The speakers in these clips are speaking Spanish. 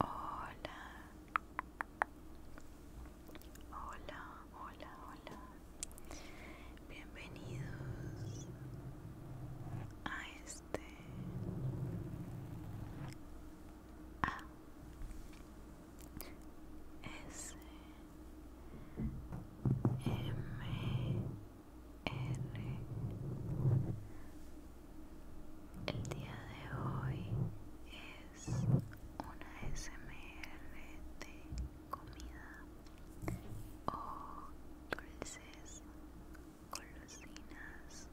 Hola. Hola, hola, hola. Bienvenidos a este A S el día de hoy es una SMR de comida o dulces, golosinas,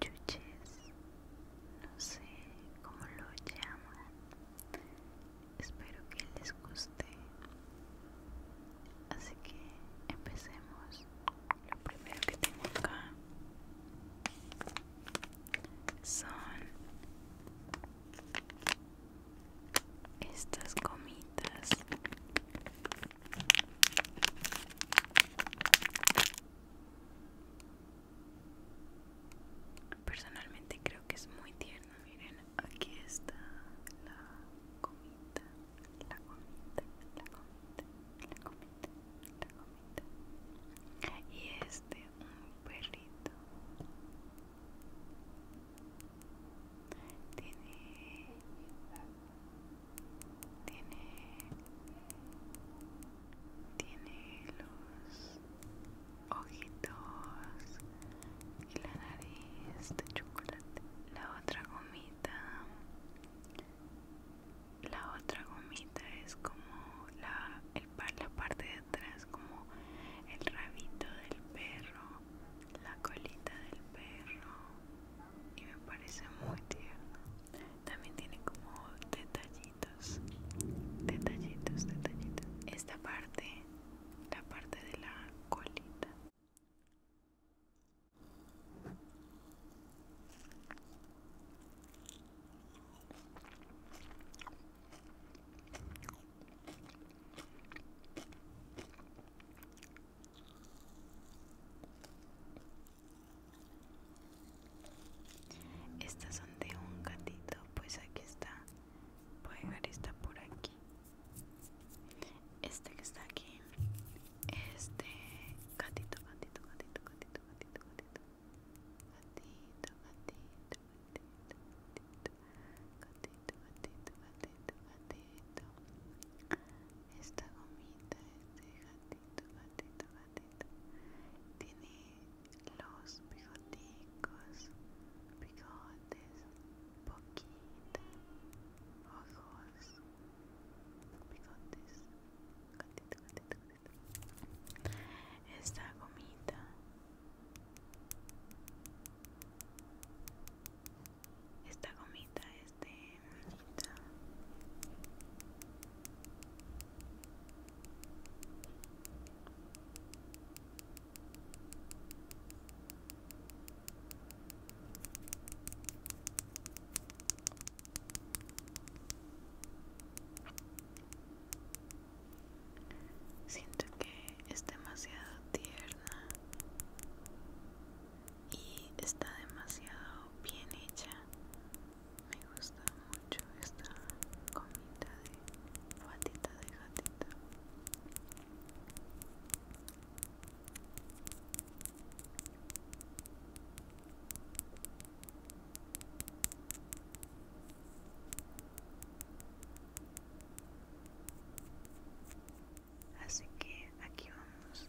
chuches, no sé cómo lo llaman. Espero que les guste Así que empecemos. Lo primero que tengo acá son estas comitas. Personalmente creo que es muy tierno, miren, aquí está la comita la gomita, la comita, la comita, la comita Y este, un perrito. Tiene... Tiene... Tiene los ojitos y la nariz de chocolate otra gomita la otra gomita es como la, la parte de atrás como el rabito del perro la colita del perro y me parece muy tierno también tiene como detallitos detallitos detallitos esta parte la parte de la colita estas son de un gatito, pues aquí está. Voy a esta por aquí. Este que está aquí. Este gatito, gatito, gatito, gatito, gatito, gatito. Gatito, gatito, gatito, gatito. Gatito, gatito, gatito, Esta gomita, este gatito, gatito, gatito. Tiene los bigoticos, bigotes poquita ojos, bigotes, gatito, gatito, gatito. Esta gomita esta gomita es de Siento que es demasiado tierna y está demasiado bien hecha. Me gusta mucho esta comida de patita de gatita. Así que aquí vamos.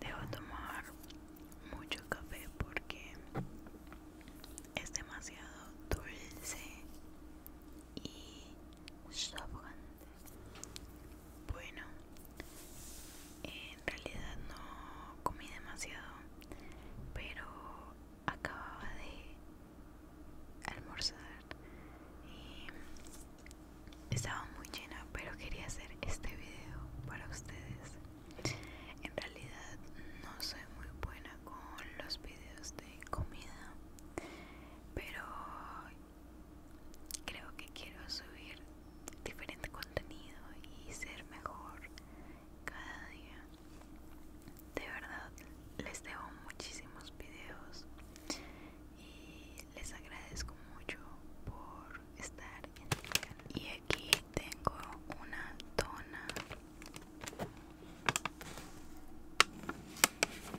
Debo tomar mucho café porque es demasiado dulce y sobrante. Bueno, en realidad no comí demasiado, pero acababa de almorzar y estaba muy llena, pero quería hacer este video para ustedes. En realidad no soy muy buena con los videos de comida, pero Creo que quiero subir diferente contenido y ser mejor cada día. De verdad, les debo muchísimos videos y les agradezco mucho por estar Y aquí tengo una tona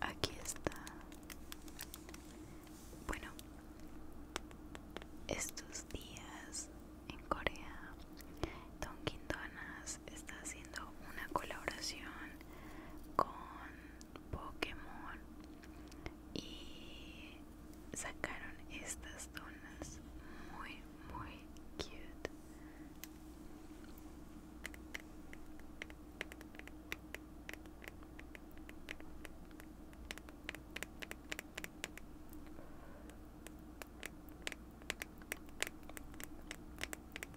Aquí está. Bueno, estos días en Corea, Don Quindonas está haciendo una colaboración con Pokémon y sacaron estas donas muy muy cute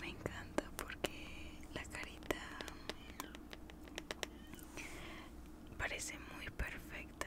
Me encanta porque la carita parece muy perfecta.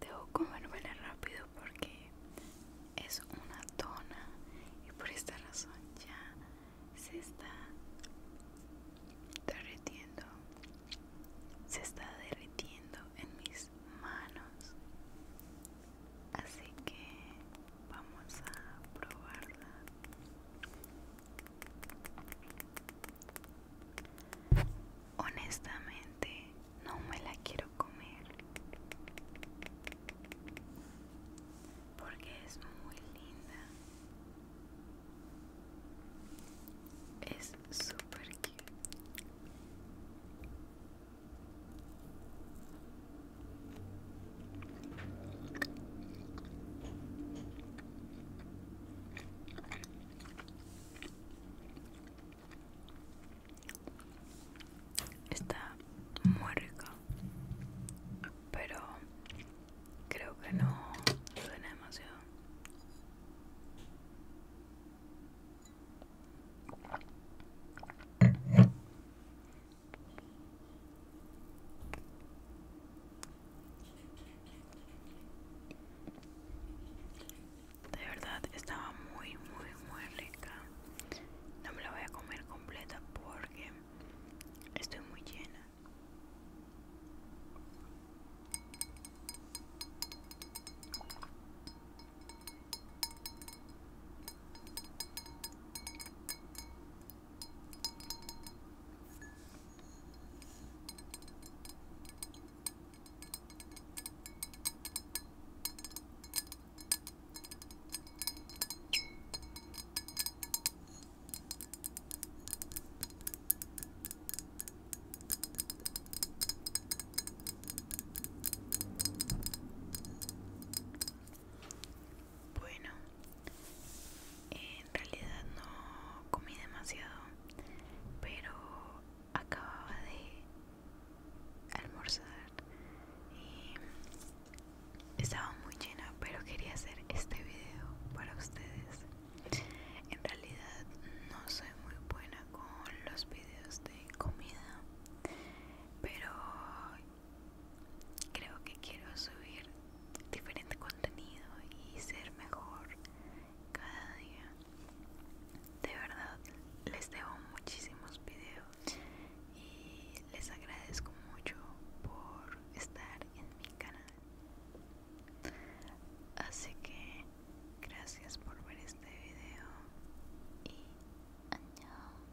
debo comérmela rápido porque es una tona y por esta razón ya se está derritiendo se está derritiendo en mis manos así que vamos a probarla honestamente no me la quiero comer porque es muy linda es super cute Está muy rico, pero creo que no suena demasiado de verdad estaba muy muy muy rica no me la voy a comer completa porque estoy muy llena bueno, en realidad no comí demasiado, pero acababa de almorzar y estaba muy llena, pero quería hacer este video para ustedes. En realidad no soy muy buena con los videos de comida, pero creo que quiero subir diferente contenido y ser mejor cada día de verdad les debo muchísimos videos y les agradezco mucho por estar en mi canal así que gracias por ver este video y ¡añado!